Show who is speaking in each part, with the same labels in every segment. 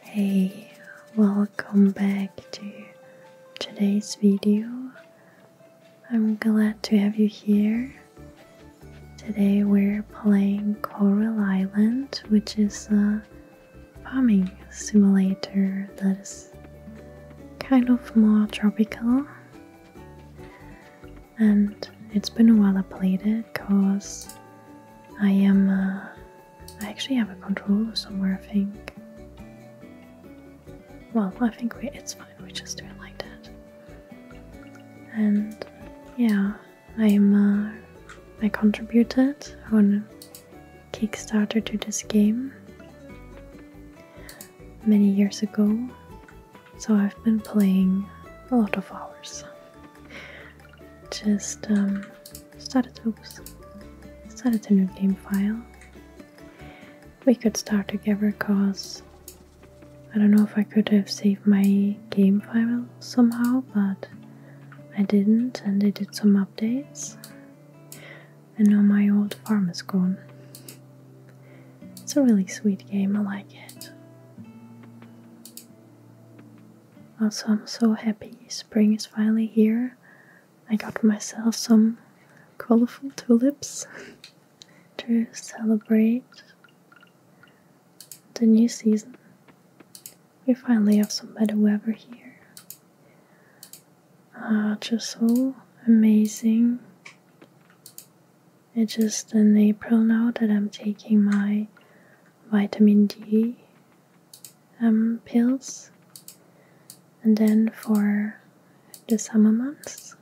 Speaker 1: Hey, welcome back to today's video. I'm glad to have you here. Today we're playing Coral Island, which is a farming simulator that is kind of more tropical. And it's been a while I played it because I am I actually have a controller somewhere, I think. Well, I think it's fine, we just do it like that. And yeah, I'm. Uh, I contributed on Kickstarter to this game many years ago, so I've been playing a lot of hours just um, started oops, started a new game file. We could start together cause I don't know if I could have saved my game file somehow, but I didn't and they did some updates. And now my old farm is gone. It's a really sweet game, I like it. Also, I'm so happy spring is finally here. I got myself some colorful tulips to celebrate the new season. We finally have some better weather here. Uh, just so amazing. It's just in April now that I'm taking my vitamin D um, pills, and then for the summer months,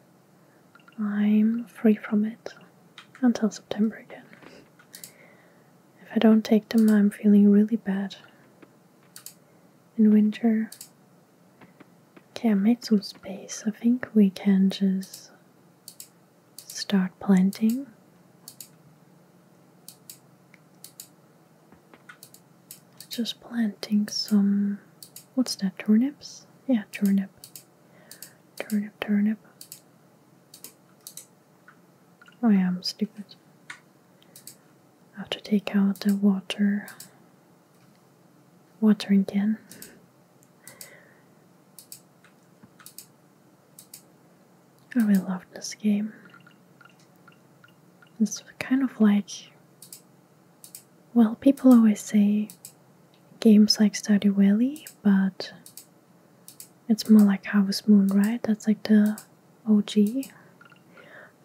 Speaker 1: I'm free from it until September again. If I don't take them, I'm feeling really bad. In winter, okay, I made some space. I think we can just start planting. Just planting some, what's that, turnips? Yeah, turnip. Turnip, turnip. Oh, I'm stupid. I have to take out the water, watering can. I really love this game. It's kind of like, well, people always say games like Stardew Valley, but it's more like Harvest Moon, right? That's like the OG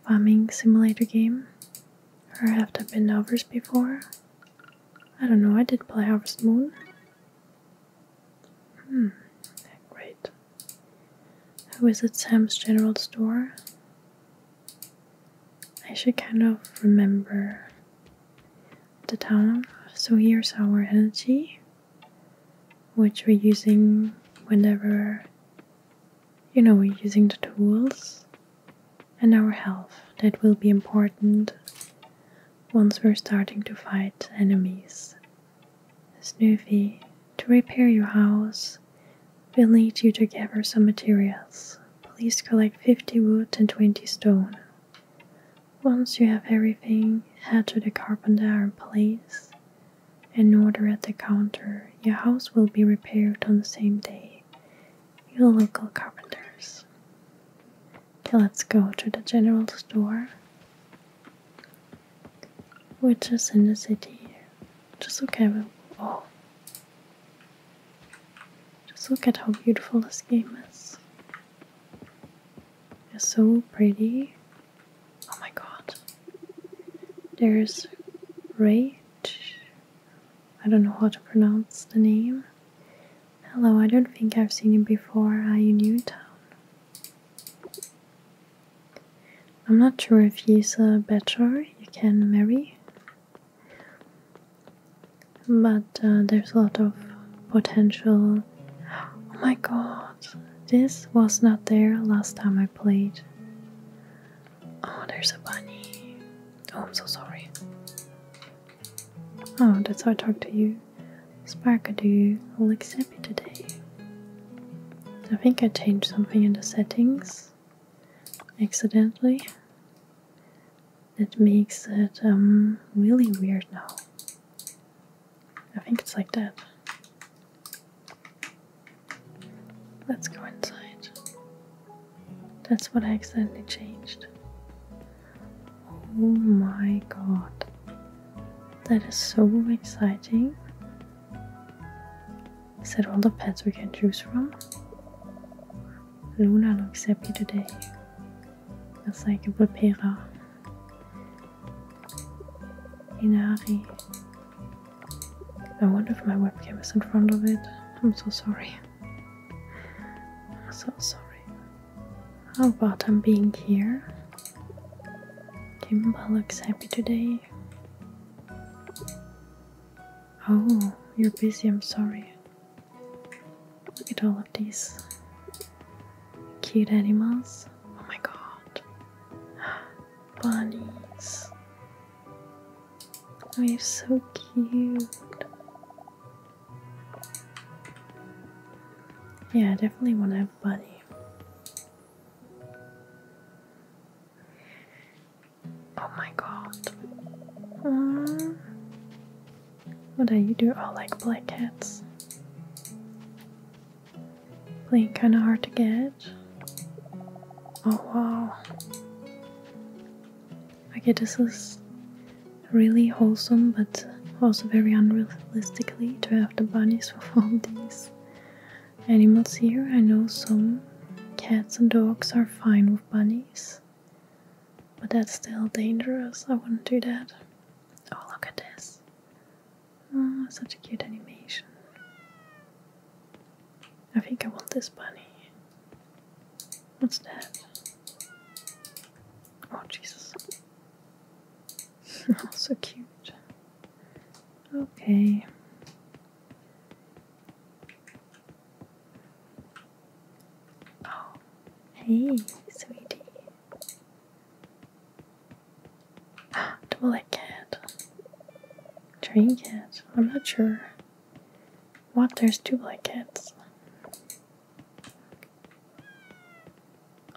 Speaker 1: farming simulator game. I have there been others before? I don't know, I did play Harvest Moon. Hmm, great. I was at Sam's General Store. I should kind of remember the town. So here's our energy, which we're using whenever, you know, we're using the tools. And our health, that will be important once we're starting to fight enemies. Snoopy, to repair your house, we'll need you to gather some materials. Please collect 50 wood and 20 stone. Once you have everything, head to the carpenter and place an order at the counter. Your house will be repaired on the same day. Your local carpenters. let's go to the general store. We're just in the city here. Just look at it. Oh. Just look at how beautiful this game is. It's so pretty. Oh my god. There's Rage. I don't know how to pronounce the name. Hello, I don't think I've seen you before. Are you new town? I'm not sure if you're a bachelor you can marry, but uh, there's a lot of potential. Oh my god, this was not there last time I played. Oh, there's a bunny. Oh, I'm so sorry. Oh, that's how I talk to you. Spark, do you look happy today? I think I changed something in the settings accidentally. That makes it um, really weird now. I think it's like that. Let's go inside. That's what I accidentally changed. Oh my god. That is so exciting. Is that all the pets we can choose from? Luna looks happy today. It's like a Blipera. Inari. I wonder if my webcam is in front of it. I'm so sorry. I'm so sorry. How about I'm being here? Kimba looks happy today. Oh, you're busy, I'm sorry. Look at all of these cute animals. Oh my god. Bunnies. Oh, you're so cute. Yeah, I definitely want to have a buddy. Oh my god. What do you do? Oh, like black cats. Playing kind of hard to get. Oh wow. Okay, this is really wholesome, but also very unrealistically to have the bunnies with all these animals here. I know some cats and dogs are fine with bunnies, but that's still dangerous. I wouldn't do that. Oh, look at this! Oh, such a cute animation. I think I want this bunny. What's that? Oh, Jesus. oh, so cute. Okay. Oh, hey, sweetie. Ah, double that cat. Dream cat. I'm not sure. What? There's two black cats.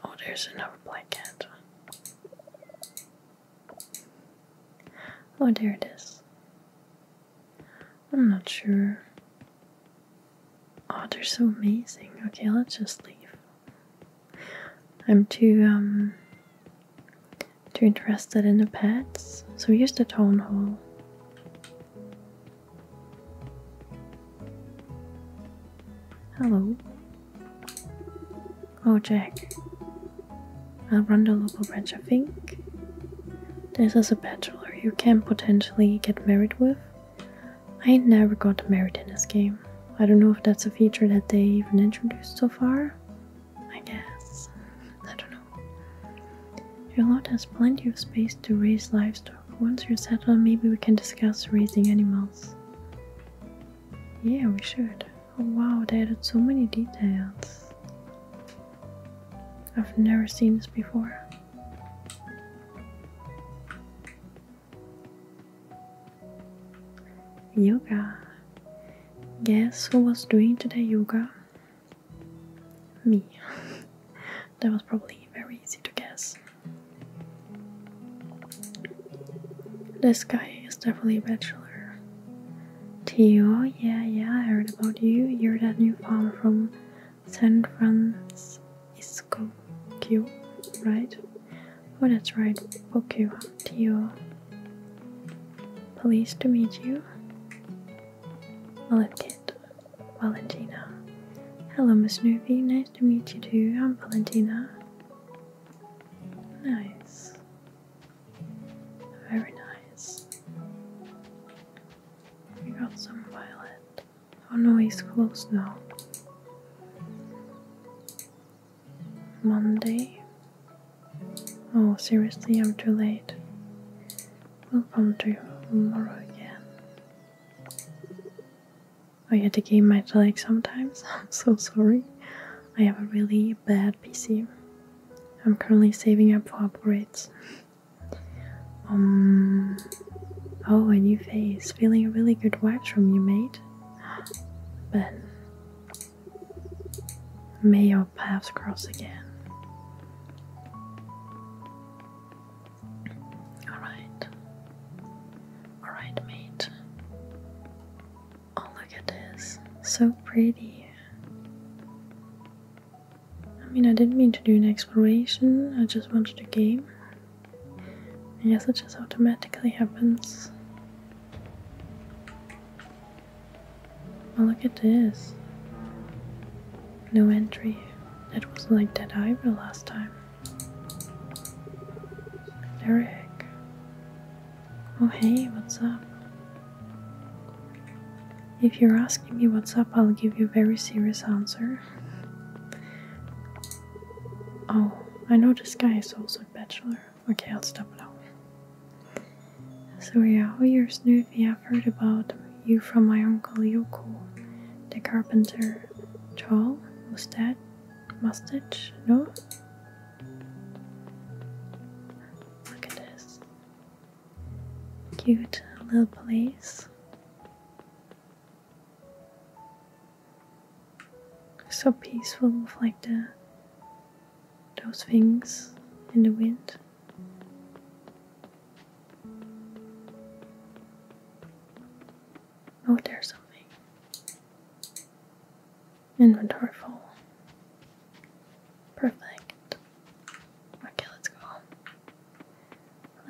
Speaker 1: Oh, there's another black cat. Oh, there it is. I'm not sure. Oh, they're so amazing. Okay, let's just leave. I'm too um too interested in the pets. So here's the tone hole. Hello. Oh, Jack. I'll run the local branch, I think. This is a bachelor you can potentially get married with. I never got married in this game. I don't know if that's a feature that they even introduced so far. I guess. I don't know. Your lot has plenty of space to raise livestock. Once you're settled, maybe we can discuss raising animals. Yeah, we should. Oh wow, they added so many details. I've never seen this before. Yoga. Guess who was doing today yoga? Me. That was probably very easy to guess. This guy is definitely a bachelor. Theo, yeah, yeah, I heard about you. You're that new farmer from San Francisco, Q, right? Oh, that's right, Pokio, Theo. Pleased to meet you. i Valentina. Hello, Miss Snoopy. Nice to meet you too. I'm Valentina. Nice. Very nice. We got some violet. Oh no, he's close now. Monday. Oh, seriously, I'm too late. We'll come to tomorrow again. I oh, had to game my leg sometimes. I'm so sorry. I have a really bad PC. I'm currently saving up for upgrades. Um. Oh, a new face. Feeling a really good vibes from you, mate. But May your paths cross again. Alright. Alright, mate. Oh, look at this. So pretty. I mean, I didn't mean to do an exploration, I just wanted to game. Yes, it just automatically happens. Oh, look at this. No entry. It wasn't like Dead Ivory last time. Eric. Oh, hey, what's up? If you're asking me what's up, I'll give you a very serious answer. Oh, I know this guy is also a bachelor. Okay, I'll stop now. So yeah, oh you're Snoopy. i have heard about you from my uncle Yoko, the carpenter. Tall, mustache, mustache, no? Look at this. Cute little place. So peaceful with like the those things in the wind. Oh, there's something. Inventory full. Perfect. Okay, let's go home.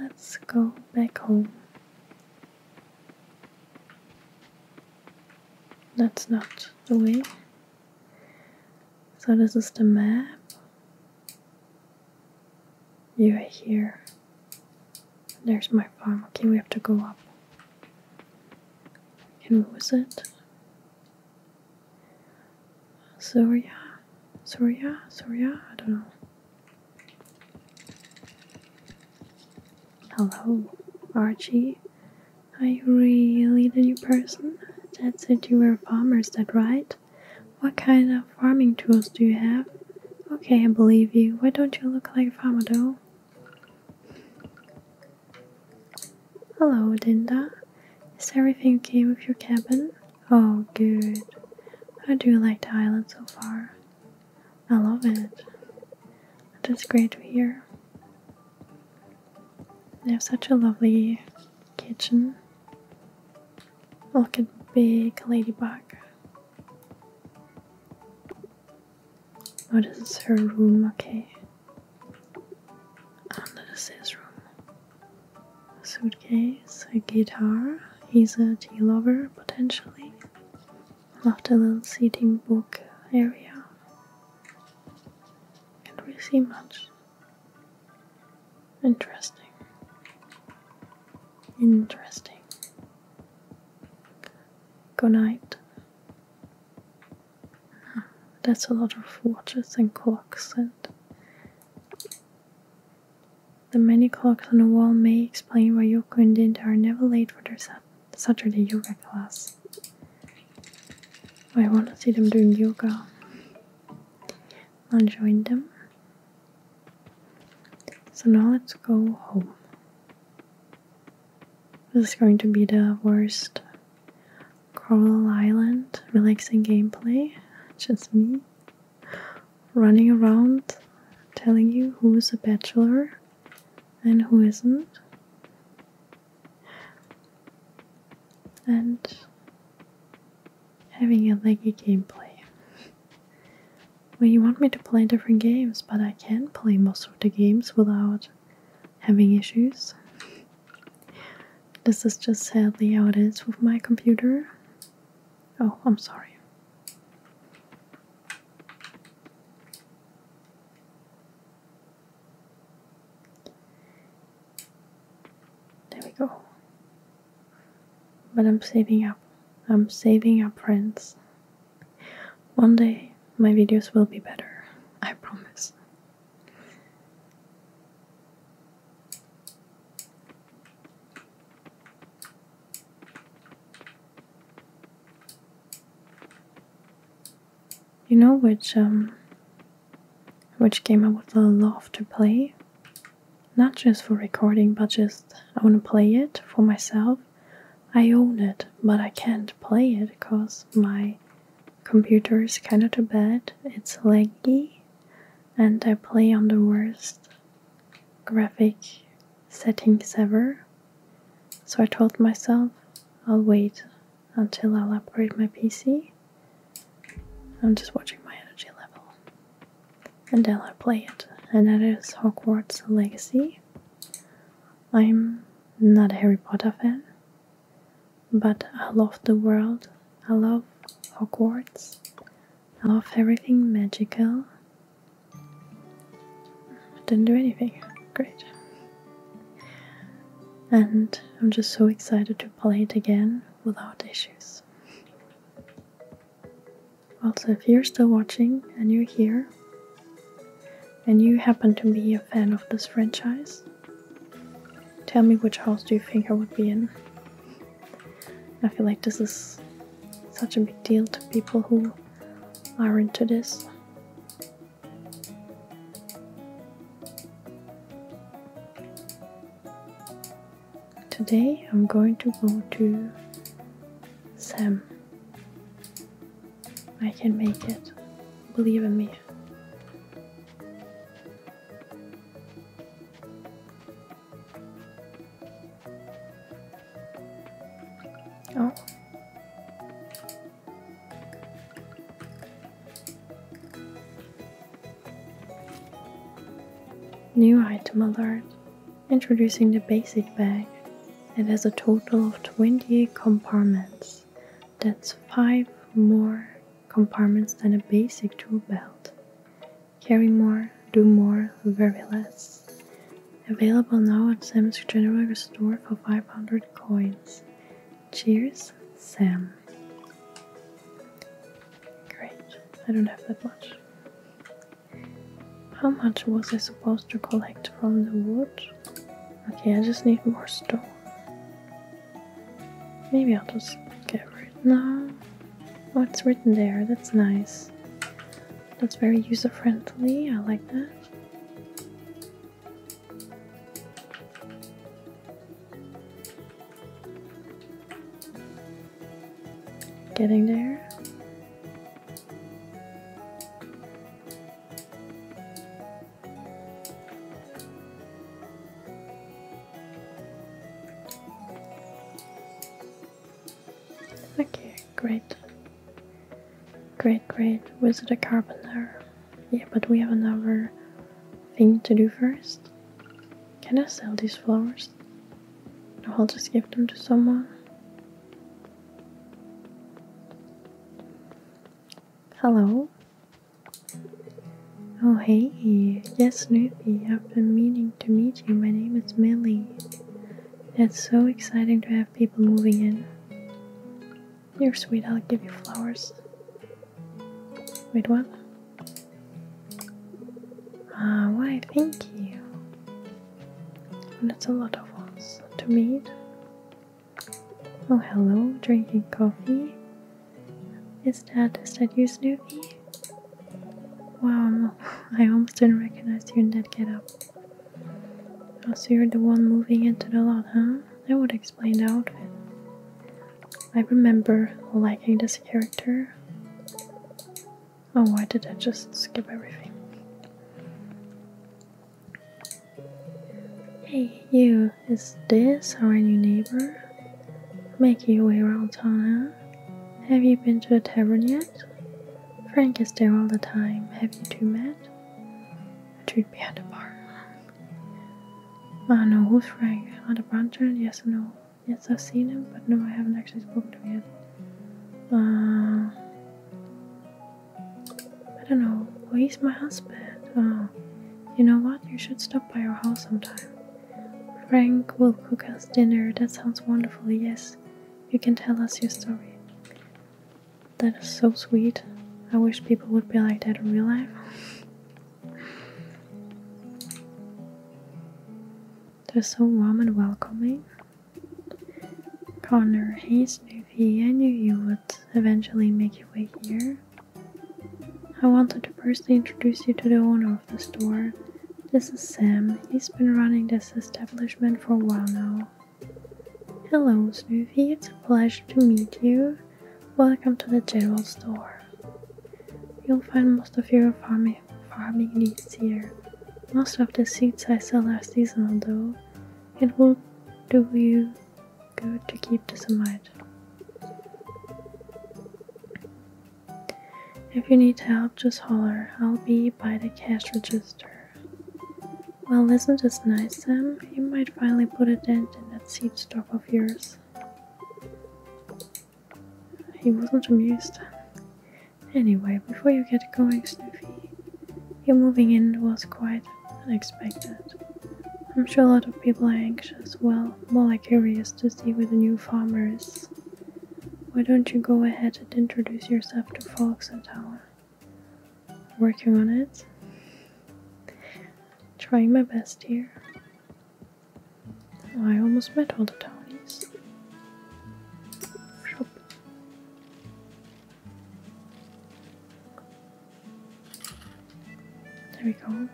Speaker 1: Let's go back home. That's not the way. So this is the map. You are here. There's my farm. Okay, we have to go up. And what was it? Soria? Soria? Soria? I don't know. Hello, Archie. Are you really the new person? That said you were a farmer, is that right? What kind of farming tools do you have? Okay, I believe you. Why don't you look like a farmer though? Hello, Dinda. Is everything okay with your cabin? Oh, good. How do you like the island so far? I love it. It is great to hear. They have such a lovely kitchen. Look at big ladybug. What is her room, okay. And this is his room. suitcase, a guitar. He's a tea lover, potentially. After the little seating book area. Can't really see much. Interesting. Interesting. Good night. Hmm, that's a lot of watches and clocks, and the many clocks on the wall may explain why Yoko and Dinda are never late for their Saturday yoga class. I want to see them doing yoga. I'll join them. So now let's go home. This is going to be the worst Coral Island relaxing gameplay. Just me running around telling you who is a bachelor and who isn't. And having a laggy gameplay. well, you want me to play different games, but I can play most of the games without having issues. This is just sadly how it is with my computer. Oh, I'm sorry. There we go. But I'm saving up. I'm saving up, friends. One day my videos will be better. I promise. You know which um which game I would love to play? not just for recording, but just I want to play it for myself. I own it, but I can't play it because my computer is kind of too bad. It's laggy, and I play on the worst graphic settings ever. So I told myself I'll wait until i upgrade my PC. I'm just watching my energy level and I'll play it, and that is Hogwarts Legacy. I'm not a Harry Potter fan, but I love the world, I love Hogwarts, I love everything magical. I didn't do anything, great. And I'm just so excited to play it again without issues. Also, if you're still watching and you're here, and you happen to be a fan of this franchise, tell me which house do you think I would be in. I feel like this is such a big deal to people who are into this today I'm going to go to Sam. I can make it, believe in me. Oh. New item alert Introducing the basic bag. It has a total of 20 compartments. That's 5 more compartments than a basic tool belt. Carry more, do more, very less. Available now at Sam's General Store for 500 coins. Cheers, Sam. Great, I don't have that much. How much was I supposed to collect from the wood? Okay, I just need more stone. Maybe I'll just get rid- no. What's written there? That's nice. That's very user-friendly, I like that. Getting there. Okay, great. Great, great. Wizard of Carpenter. Yeah, but we have another thing to do first. Can I sell these flowers? No, I'll just give them to someone. Hello. Oh hey, yes Snoopy, I've been meaning to meet you. My name is Milly. It's so exciting to have people moving in. You're sweet, I'll give you flowers. Wait, what? Ah, why thank you. That's a lot of ones to meet. Oh, hello, drinking coffee. Is that, is that you, Snoopy? Wow, I almost didn't recognize you in that getup. Oh, so you're the one moving into the lot, huh? That would explain the outfit. I remember liking this character. Oh, why did I just skip everything? Hey, you, is this our new neighbor? Making your way around town, Have you been to the tavern yet? Frank is there all the time. Have you two met? It treat behind the bar. I ah, know who's Frank. On the branch, yes or no? Yes, I've seen him, but no, I haven't actually spoken to him yet. Uh, I don't know. he's my husband. Oh, you know what? You should stop by our house sometime. Frank will cook us dinner. That sounds wonderful. Yes, you can tell us your story. That is so sweet. I wish people would be like that in real life. They're so warm and welcoming. Connor hates Snoopy. I knew you would eventually make your way here. I wanted to personally introduce you to the owner of the store. This is Sam. He's been running this establishment for a while now. Hello, Snoopy. It's a pleasure to meet you. Welcome to the general store. You'll find most of your farming, farming needs here. Most of the seeds I sell are seasonal though. It will do you good to keep this in mind. If you need help, just holler. I'll be by the cash register. Well, isn't this nice, Sam? You might finally put a dent in that seed stock of yours. He wasn't amused. Anyway, before you get going, Snoopy, your moving in was quite unexpected. I'm sure a lot of people are anxious, well, more like curious to see where the new farmer is. Why don't you go ahead and introduce yourself to folks in town? Working on it. Trying my best here. I almost met all the Tonys. There we go.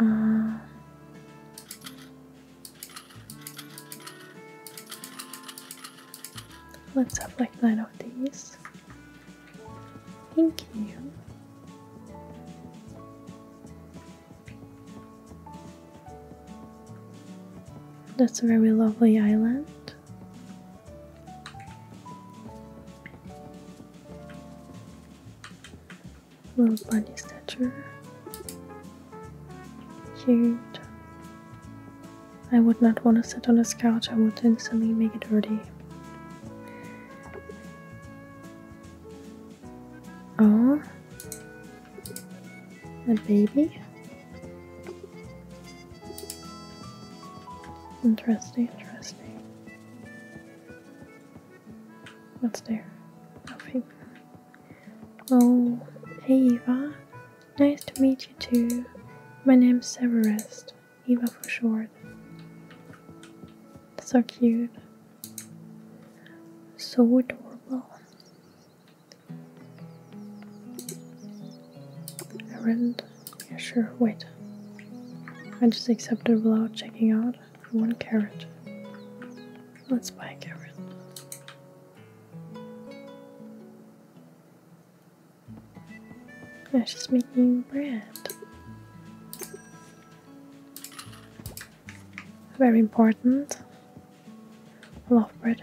Speaker 1: Uh, let's have like nine of these. Thank you. That's a very lovely island. Little bunny statue. Cute. I would not want to sit on this couch, I would instantly make it dirty. Oh, a baby. Interesting, interesting. What's there? Nothing. Oh, hey Eva. Nice to meet you too. My name's Severest. Eva for short. So cute. So adorable. Errand? Yeah, sure. Wait. I just accepted without checking out. One carrot. Let's buy a carrot. Yeah, she's making bread. Very important. Love bread.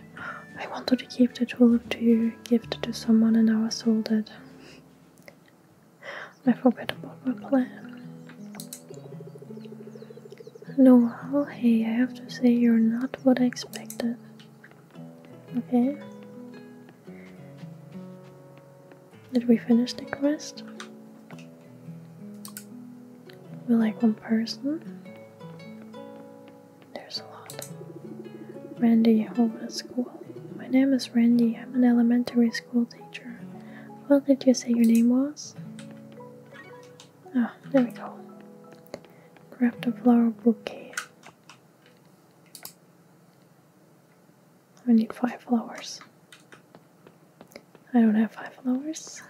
Speaker 1: I wanted to keep the tulip to gift to someone and now I sold it. I forgot about my plan. Noel, hey, I have to say you're not what I expected. Okay? Did we finish the quest? We like one person. There's a lot. Randy, home at school. My name is Randy. I'm an elementary school teacher. What did you say your name was? oh, there we go. Grab the flower bouquet. I need five flowers. I don't have five flowers.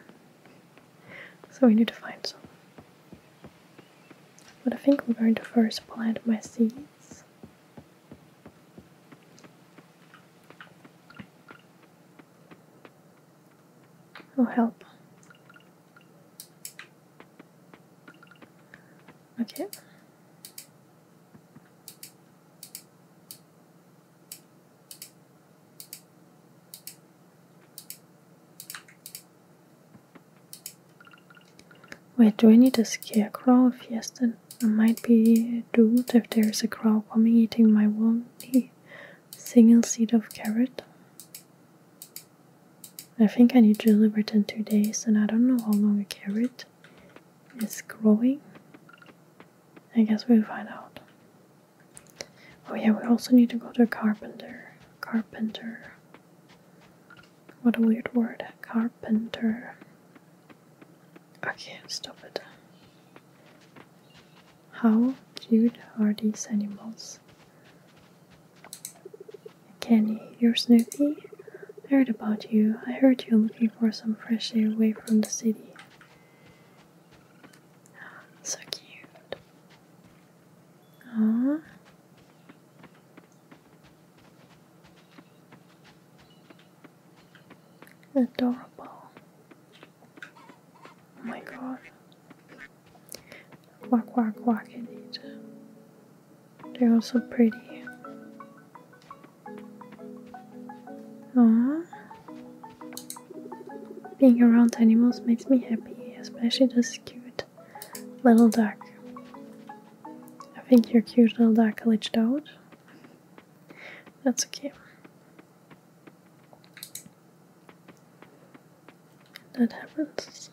Speaker 1: So we need to find some. But I think I'm going to first plant my seeds. Oh, help. Okay. Wait, do I need a scarecrow? If yes, then I might be doomed if there is a crow coming eating my one single seed of carrot. I think I need to deliver it in two days, and I don't know how long a carrot is growing. I guess we'll find out. Oh yeah, we also need to go to carpenter. Carpenter. What a weird word. Carpenter. I can't stop it. How cute are these animals? Kenny, you're Snoopy? I heard about you. I heard you're looking for some fresh air away from the city. So cute. Aww. Adorable. Oh my god. Quack quack quack indeed. They're all so pretty. Aww. Being around animals makes me happy, especially this cute little duck. I think your cute little duck glitched out. That's okay. That happens.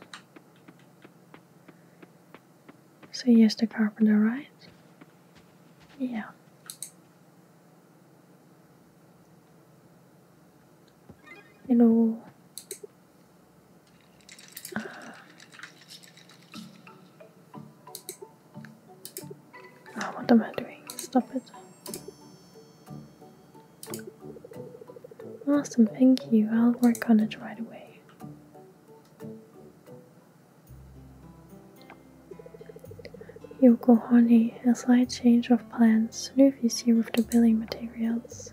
Speaker 1: So yes, the carpenter, right? Yeah. You know, ah, what am I doing? Stop it. Awesome, thank you. I'll work on it right away. Yokohani, a slight change of plans, new VC with the building materials.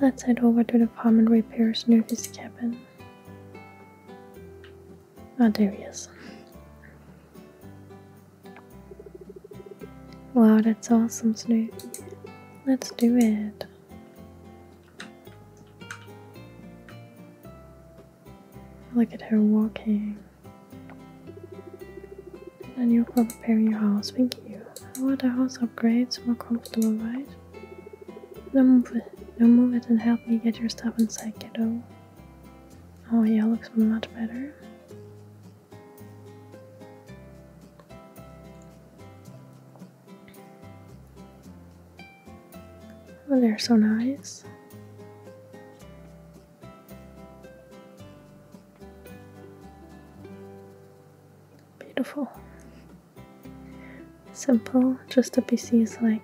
Speaker 1: Let's head over to the farm and repair's new VC cabin. Ah, oh, there he is. Wow, that's awesome, Snoop. Let's do it. Look at her walking. And you for preparing your house. Thank you. I want a house upgrade. more comfortable, right? No move it. Now move it and help me get your stuff inside, kiddo. Oh yeah, looks much better. Oh, they're so nice. Beautiful. Simple, just a PC is like.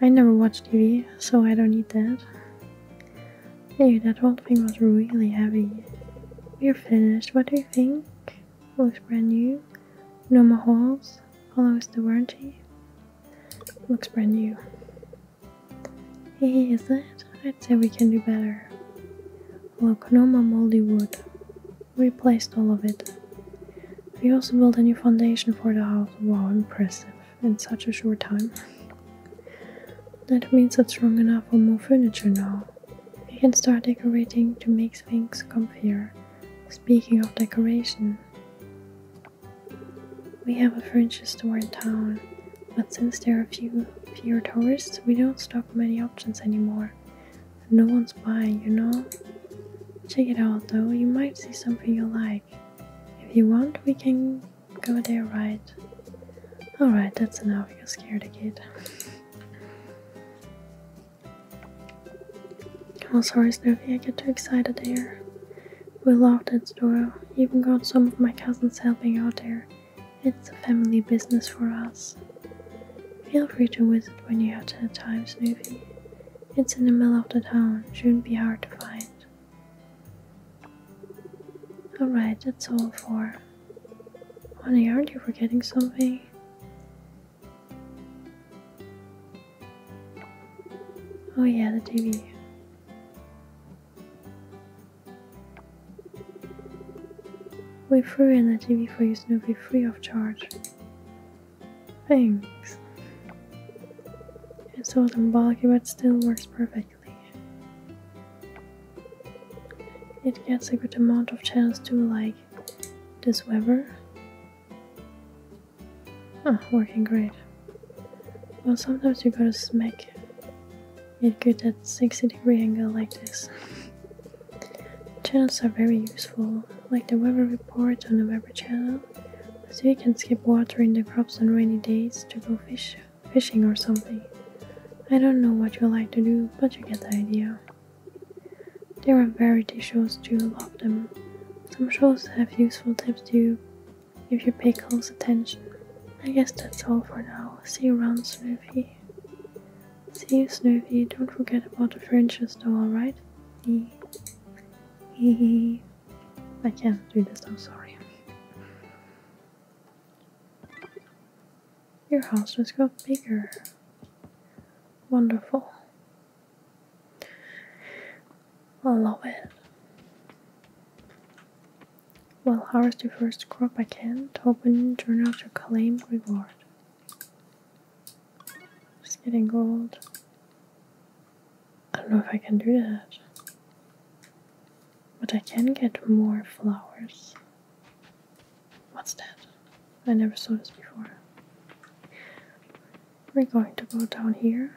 Speaker 1: I never watch TV, so I don't need that. Yeah, that whole thing was really heavy. We're finished. What do you think? Looks brand new. No more holes years, follows the warranty. Looks brand new. Hey, is it? I'd say we can do better. Look, no more moldy wood. Replaced all of it. We also built a new foundation for the house. Wow, impressive. In such a short time. That means it's strong enough for more furniture now. We can start decorating to make things comfier. Speaking of decoration, we have a French store in town, but since there are few fewer tourists, we don't stock many options anymore. No one's buying, you know? Check it out though, you might see something you like. If you want, we can go there, right? Alright, that's enough, you scared the kid. Oh, sorry, Snoopy, I get too excited there. We love that store. Even got some of my cousins helping out there. It's a family business for us. Feel free to visit when you have the time, Snoopy. It's in the middle of the town, shouldn't be hard to find. Alright, that's all for. Honey, aren't you forgetting something? Oh, yeah, the TV. We threw in the TV for you, Snoopy, free of charge. Thanks. It's old and bulky, but still works perfectly. It gets a good amount of channels too, like this weather, Ah, working great. Well, sometimes you gotta smack it good at 60 degree angle like this. Channels are very useful, like the weather report on the weather channel, so you can skip watering the crops on rainy days to go fish, fishing or something. I don't know what you like to do, but you get the idea. There are variety shows to love them. Some shows have useful tips too, if you pay close attention. I guess that's all for now. See you around, Snoopy. See you, Snoopy. Don't forget about the furniture though, alright? I can't do this, I'm sorry. Your house just got bigger. Wonderful. I love it. Well, harvest the first crop I can, open journal to claim reward. Just getting gold. I don't know if I can do that. But I can get more flowers. What's that? I never saw this before we're going to go down here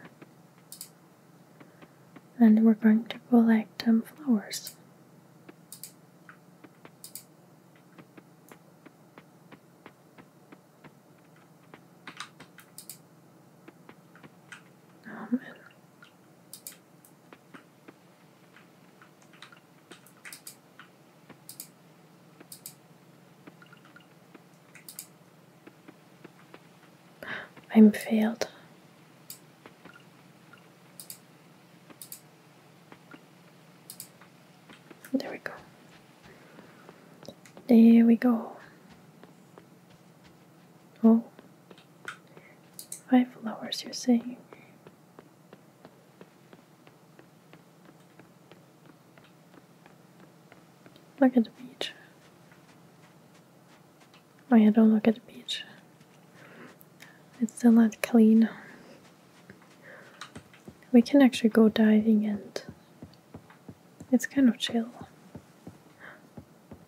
Speaker 1: and we're going to collect some flowers. Um, I'm failed. There we go. There we go. Oh, five flowers, you're saying? Look at the beach. Oh don't look at the beach. It's still not clean. We can actually go diving and it's kind of chill.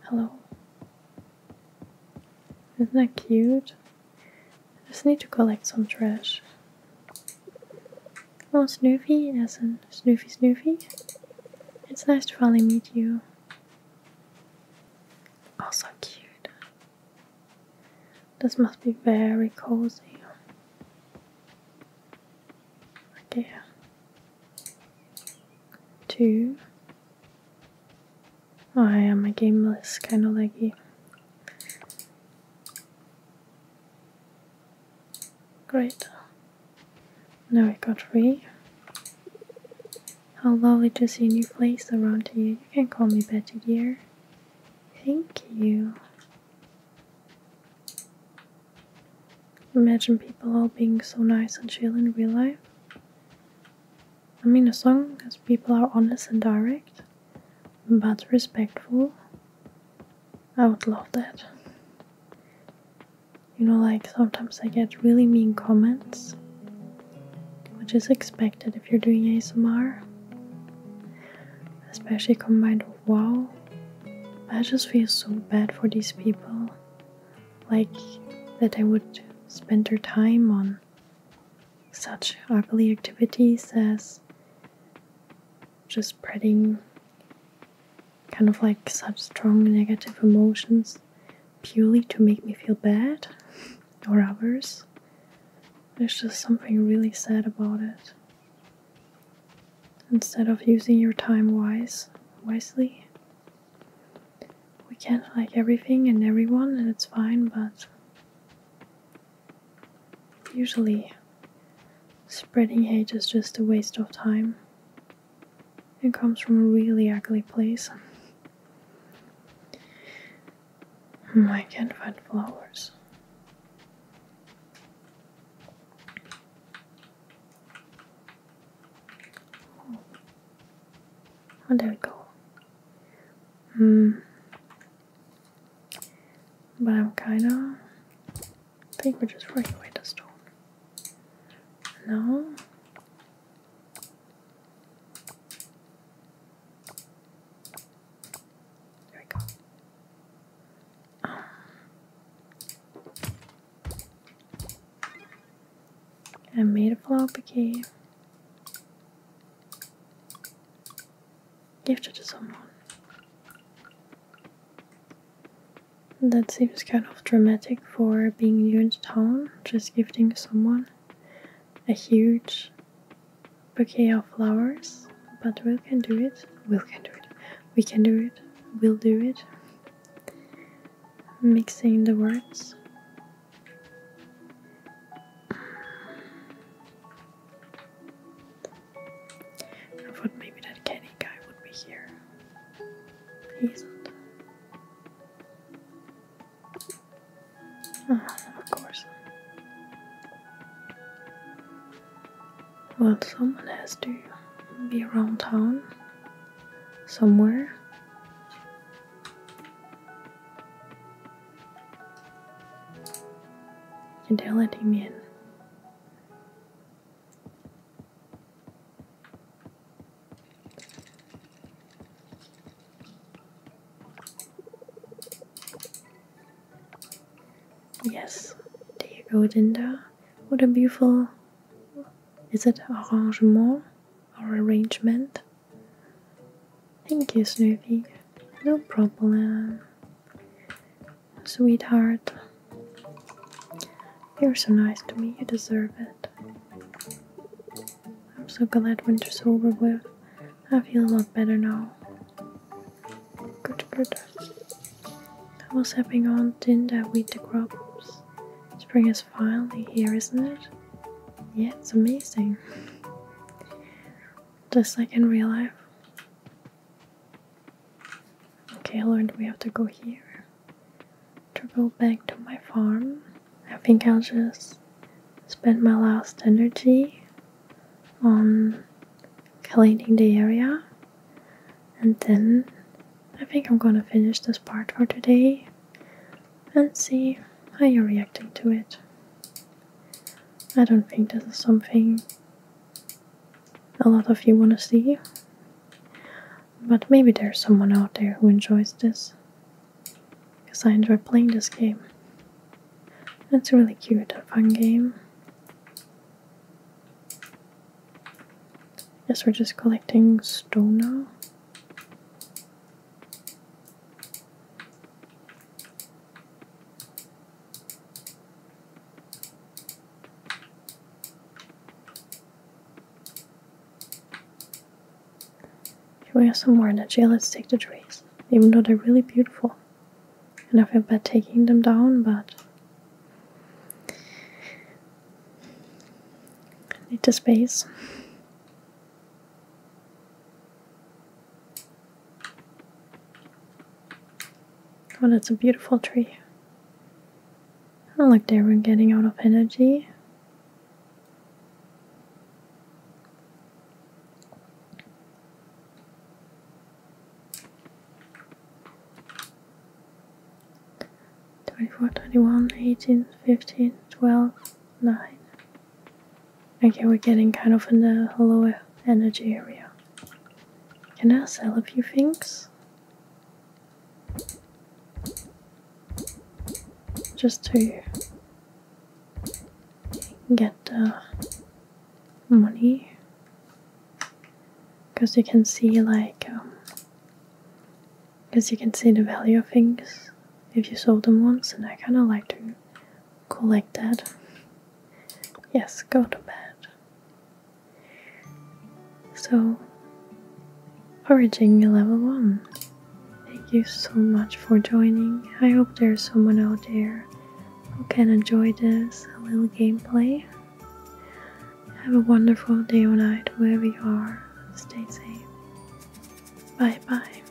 Speaker 1: Hello. Isn't that cute? I just need to collect some trash. Hello Snoopy! as in Snoopy, Snoopy? It's nice to finally meet you. Oh, so cute. This must be very cozy. Okay. Two. Oh, I am a gameless kind of leggy. Great. Now I got free. How lovely to see new place around you. You can call me Betty dear. Thank you. Imagine people all being so nice and chill in real life. I mean, as long as people are honest and direct, but respectful, I would love that. You know, like sometimes I get really mean comments, which is expected if you're doing ASMR, especially combined with wow. I just feel so bad for these people, like that I would spend their time on such ugly activities as just spreading kind of like such strong negative emotions purely to make me feel bad or others. There's just something really sad about it. Instead of using your time wise wisely, we can't like everything and everyone and it's fine, but Usually, spreading hate is just a waste of time. It comes from a really ugly place. I can't find flowers. Oh, there we go. Hmm, but I'm kinda think we're just throwing away the stone. No. There we go. Um. I made a flower bouquet. Gift it to someone. That seems kind of dramatic for being new in town, just gifting someone a huge bouquet of flowers. But we can do it. We can do it. We can do it. We'll do it. Mixing the words. I thought maybe that Kenny guy would be here. He isn't. Oh, ah, of course. Well, someone has to be around town somewhere. And they're letting Yes, there you go, Dinda. What a beautiful. Is it arrangement or arrangement? Thank you, Snoopy. No problem, sweetheart. You're so nice to me, you deserve it. I'm so glad winter's over with. I feel a lot better now. Good, good. I was having on tin that wheat the crops. Spring is finally here, isn't it? Yeah, it's amazing just like in real life. Okay, I learned we have to go here to go back to my farm. I think I'll just spend my last energy on cleaning the area and then I think I'm gonna finish this part for today and see how you're reacting to it. I don't think this is something a lot of you want to see, but maybe there's someone out there who enjoys this because I enjoy playing this game. It's a really cute and fun game. Yes, we're just collecting stone now we have some more in the energy, let's take the trees, even though they're really beautiful. And I feel bad taking them down, but I need the space. Oh, that's a beautiful tree. I like they were getting out of energy. Twenty-four, twenty-one, eighteen, fifteen, twelve, nine. Okay, we're getting kind of in the lower energy area. Can I sell a few things? Just to get the money. Because you can see, like, because um, you can see the value of things if you sold them once, and I kind of like to Go like that. Yes, go to bed. So, Origin level 1. Thank you so much for joining. I hope there's someone out there who can enjoy this little gameplay. Have a wonderful day or night wherever you are. Stay safe. Bye bye.